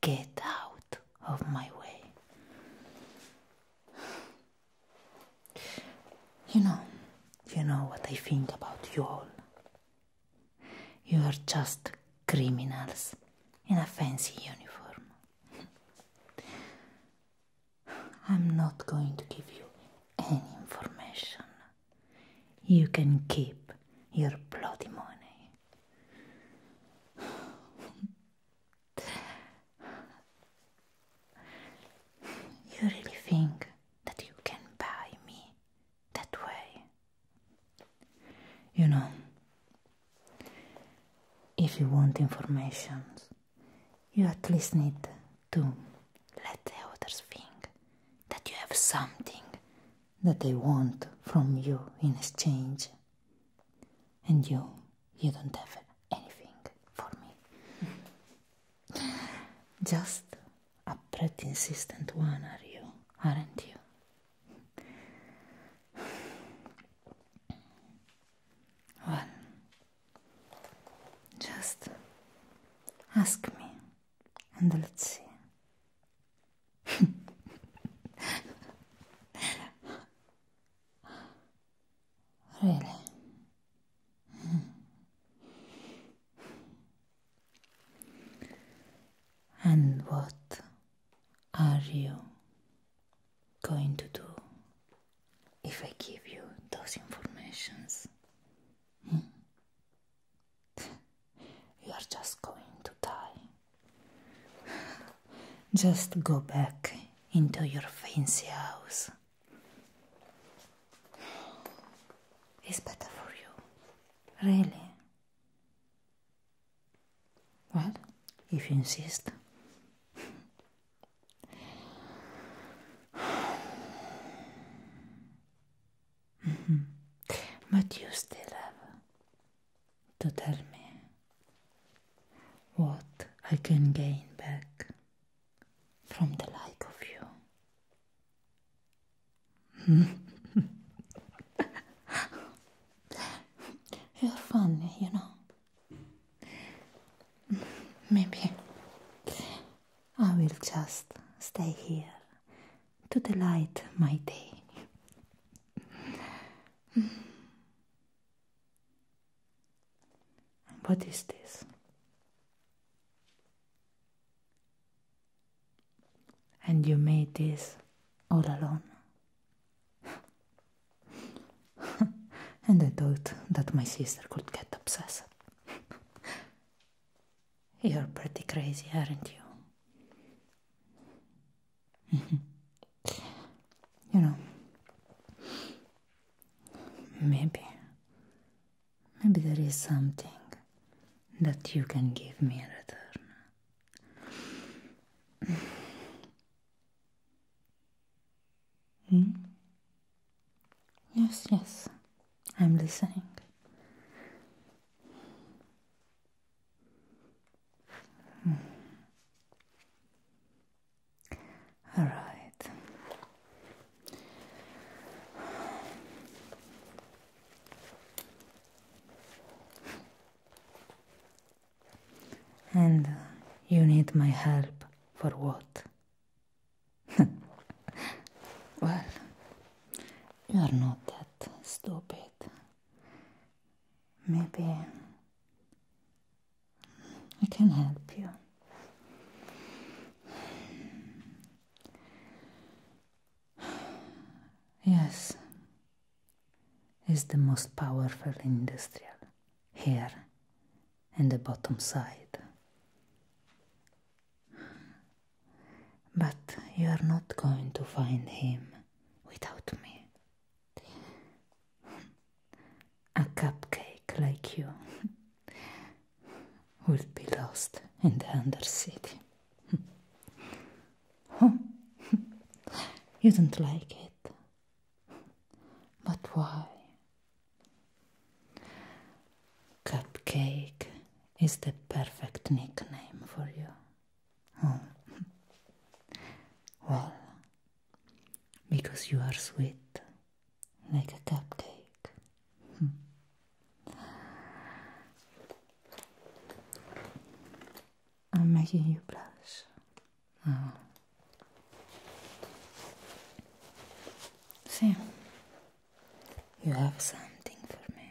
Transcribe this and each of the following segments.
get out of my way. You know, you know what I think about you all. You are just criminals in a fancy uniform. I'm not going to give you any information. You can keep your bloody money. You really think that you can buy me that way? You know, if you want information, you at least need to let others think that you have something that they want from you in exchange and you, you don't have anything for me. Just a pretty insistent one, are you? Aren't you? Well, just ask me and let's see. really? And what are you going to do if I give you those informations? Hmm? you are just going to die. Just go back into your fancy house. It's better for you, really. What? if you insist. Mm-hmm. but you still have to tell me what I can gain back from the like of you. You're funny, you know. Maybe I will just stay here to delight my day. what is this? And you made this all alone. and I thought that my sister could get obsessed. You're pretty crazy, aren't you? you know, maybe, maybe there is something that you can give me in return. Hmm? Yes, yes, I'm listening. Hmm. All right. And uh, you need my help for what? well, you're not that stupid maybe I can help you. Yes, is the most powerful industrial here in the bottom side. But you are not going to find him without me. A cupcake like you will be lost in the undercity. oh, you don't like it. But why? Cupcake is the perfect nickname for you. Oh. well, because you are sweet, like a cupcake. Hmm. I'm making you blush. Oh. See, you have something for me.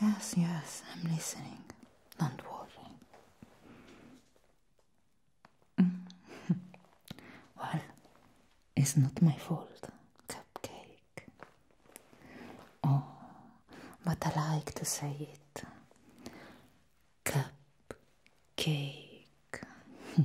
yes, yes, I'm listening. Don't worry. Mm. well, it's not my fault, Cupcake. Oh, but I like to say it. Cupcake.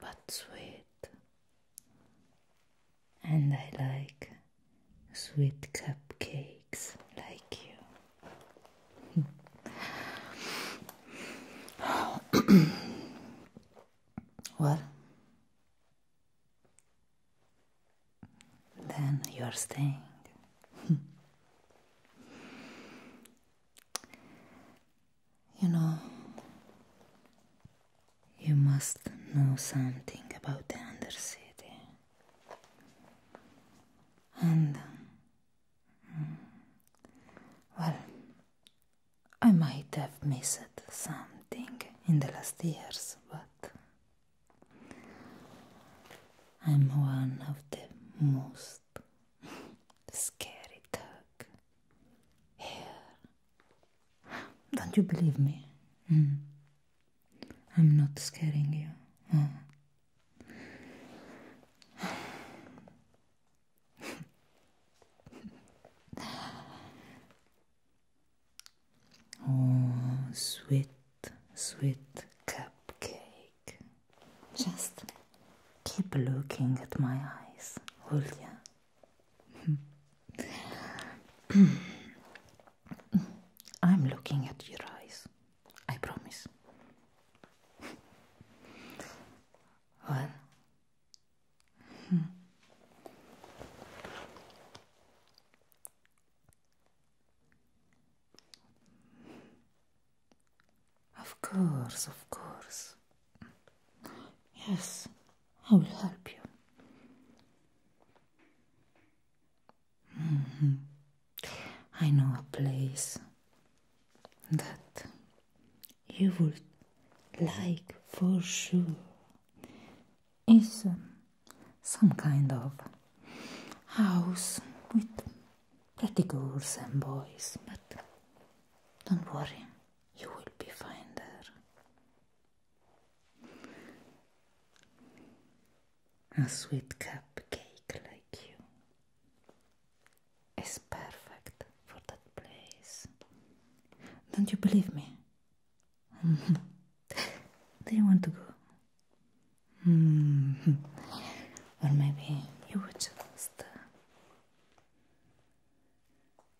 but sweet. And I like sweet cupcakes like you. What? then you are staying. You know, you must know something about the Undercity. And, mm, well, I might have missed something in the last years, but I'm one of the most scary dog here don't you believe me? Hmm. I'm not scaring you. Hmm. Oh. sweet, sweet cupcake. Just keep looking at my eyes, Julia. I'm looking at your eyes, I promise. well, hmm. of course, of course. Yes, I will help you. Mm-hmm. I know a place that you would like for sure. It's um, some kind of house with pretty girls and boys, but don't worry, you will be fine there. A sweet cupcake like you is perfect for that place. Don't you believe me? Do you want to go? or maybe you would just uh,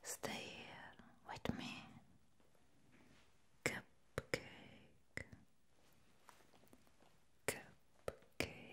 Stay here with me. Cupcake. Cupcake.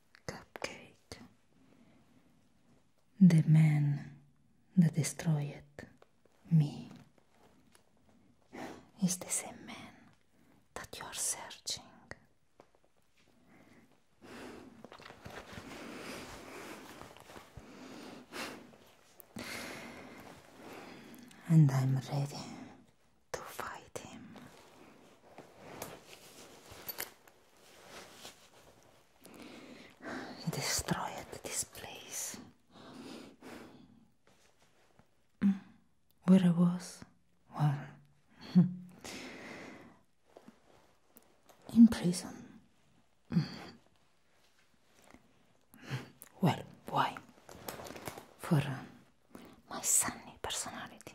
cupcake. The man that destroyed me is the same man that you are searching. And I'm ready Where I was, well, in prison. Well, why? For uh, my sunny personality.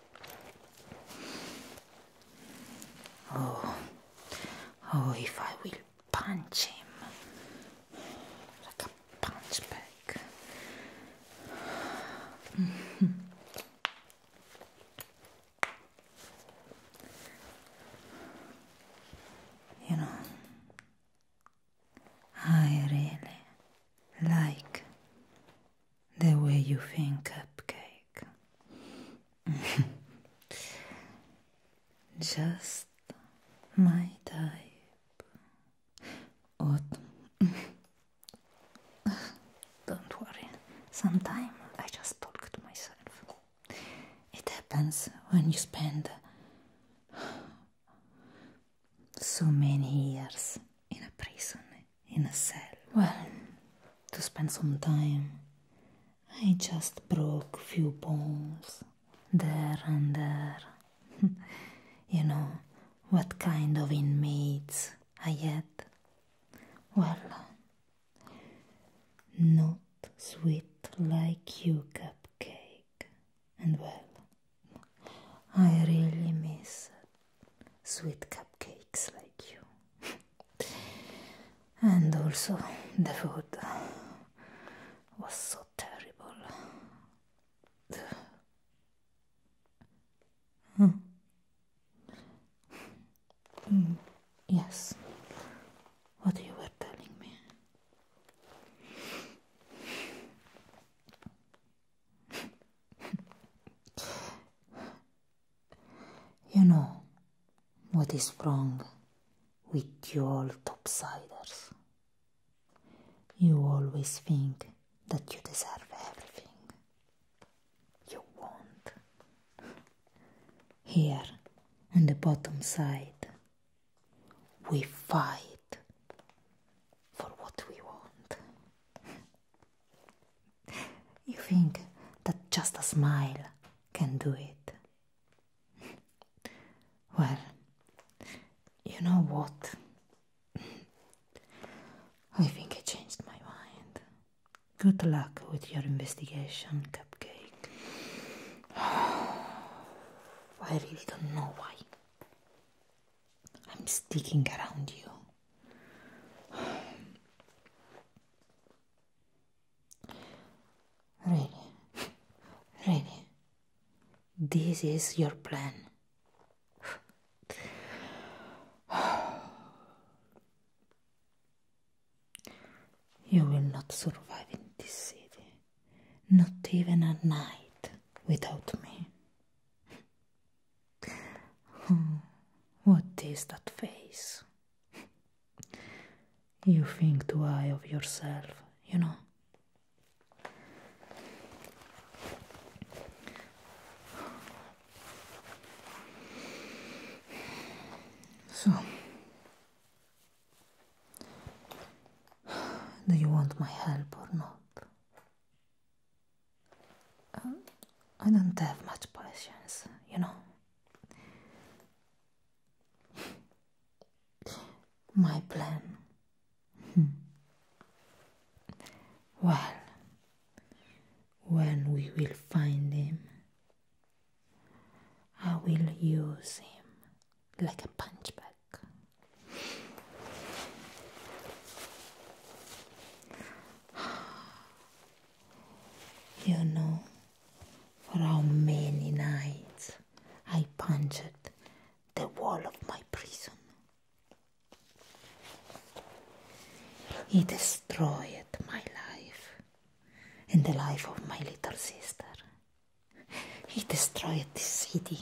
Oh, oh, if I will punch him like a punch bag. you know, I really like the way you think, Cupcake. Just my type. What? Don't worry. Sometimes I just talk to myself. It happens when you spend so many years in a prison in a cell. Well, to spend some time, I just broke few bones there and there. you know, what kind of inmates I had. Well, not sweet like you, cupcake. And well, I really miss it. sweet cupcakes like you. and also, the food was so terrible. hmm. mm, yes, what you were telling me. You know what is wrong with you all topsiders. You always think that you deserve everything. You won't. Here, on the bottom side, we fight for what we want. You think that just a smile can do it. Well, you know what? I think I changed my mind. Good luck with your investigation, Cupcake. I really don't know why. I'm sticking around you. Really, really, this is your plan. You will not survive in this city, not even a night without me. Hmm, what is that face? you think too high of yourself, you know. So, do you want my help or not? Um, I don't have much patience, you know. My plan. Hmm. well, when we will find him, I will use him like a punchbag. Так. You know, for how many nights I punched the wall of my prison. He destroyed my life and the life of my little sister. He destroyed this city.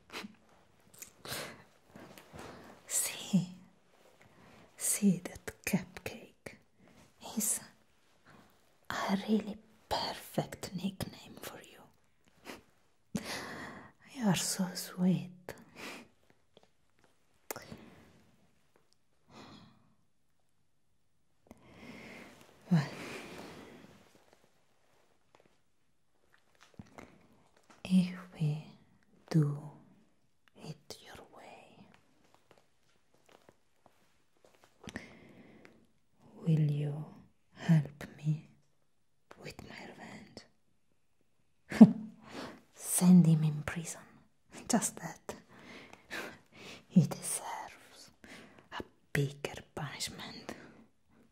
see, see that cupcake is a really perfect nickname for you. you are so sweet. if we do it your way. Will you help me with my revenge? Send him in prison, just that. he deserves a bigger punishment.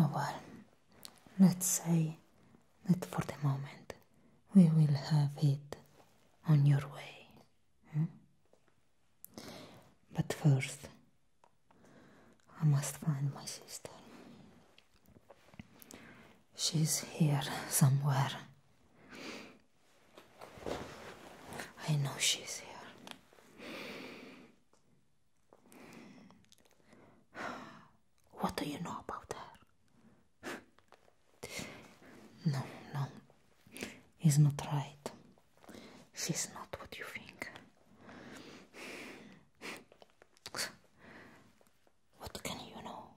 Oh, well, let's say that for the moment we will have it on your way. Hmm? But first, I must find my sister. She's here somewhere. I know she's here. What do you know about her? No, no, it's not right. She's not what you think. What can you know?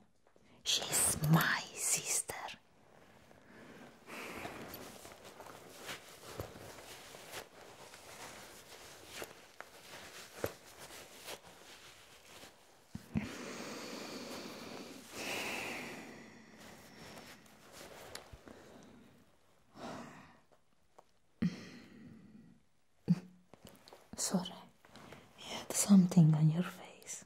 She's my sister. Sorry, you had something on your face.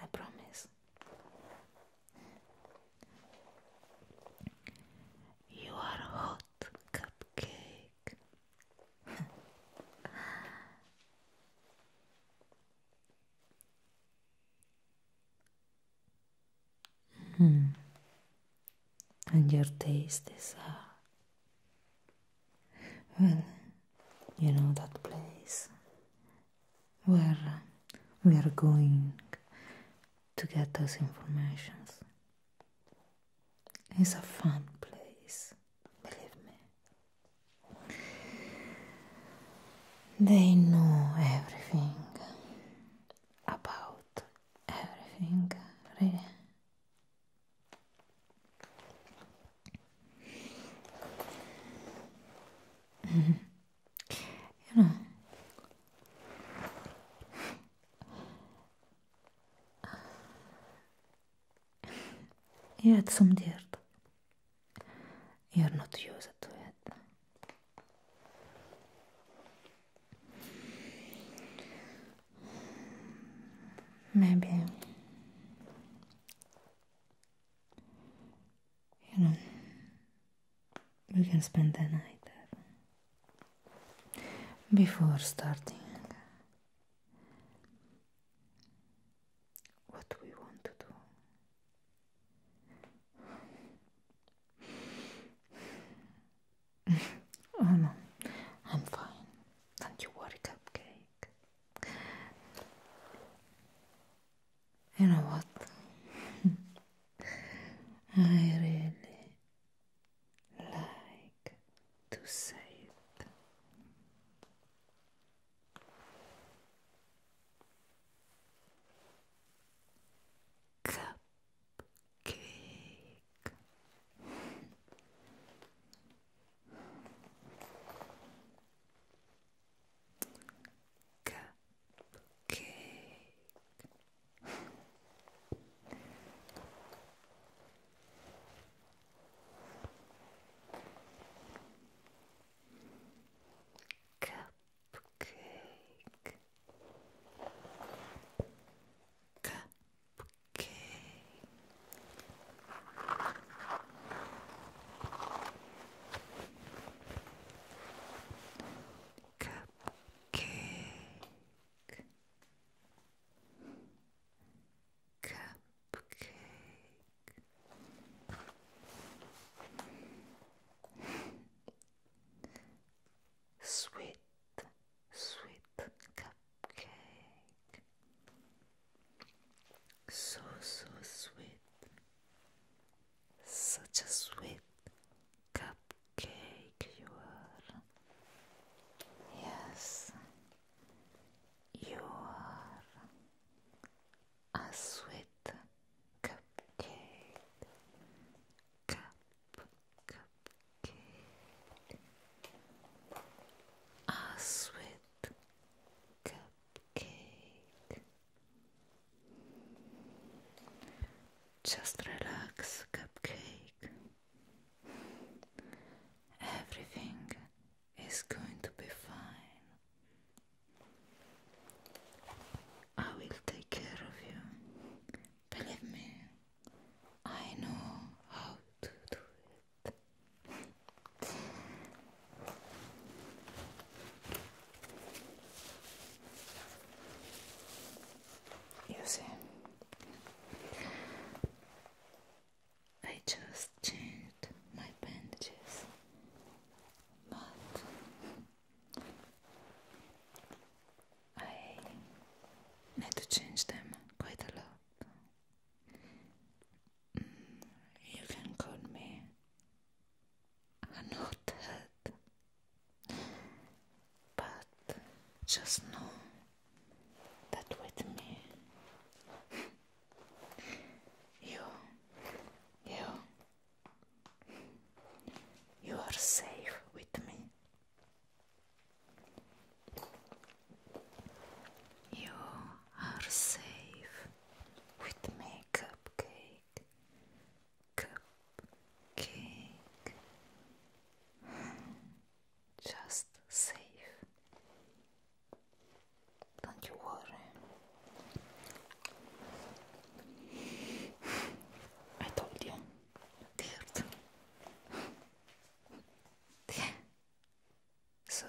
I promise. You are hot cupcake. mm. And your taste is uh, well, you know that place. where we are going to get those informations. It's a fun place, believe me. They know everything about everything, really. you know, you had some dirt. You're not used to it. Maybe you know, we can spend the night there before starting what we want to do. oh no, I'm fine. Don't you worry, cupcake. You know what? I really like to say it. Cupcake. Cupcake. Cupcake. Cupcake. Cupcake, cupcake, sweet, sweet cupcake, so, so sweet. Such a sweet cupcake you are. Yes, you are a sweet cupcake. Cup, cupcake. A sweet cupcake cupcake. Just relax, cupcake. Everything is going to be fine. I will take care of you. Believe me, I know how to do it. You see, I just changed my bandages, but I need to change them quite a lot. You can call me a hothead, but just know that with me, you, you, you are safe with me. You are safe with me, cupcake. Cupcake. Just safe. Don't you worry. I told you, dear. So,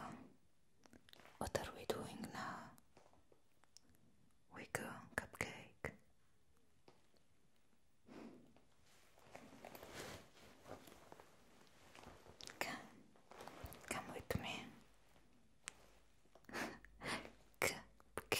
what are we doing now? We go cupcake. Come, come with me. cupcake.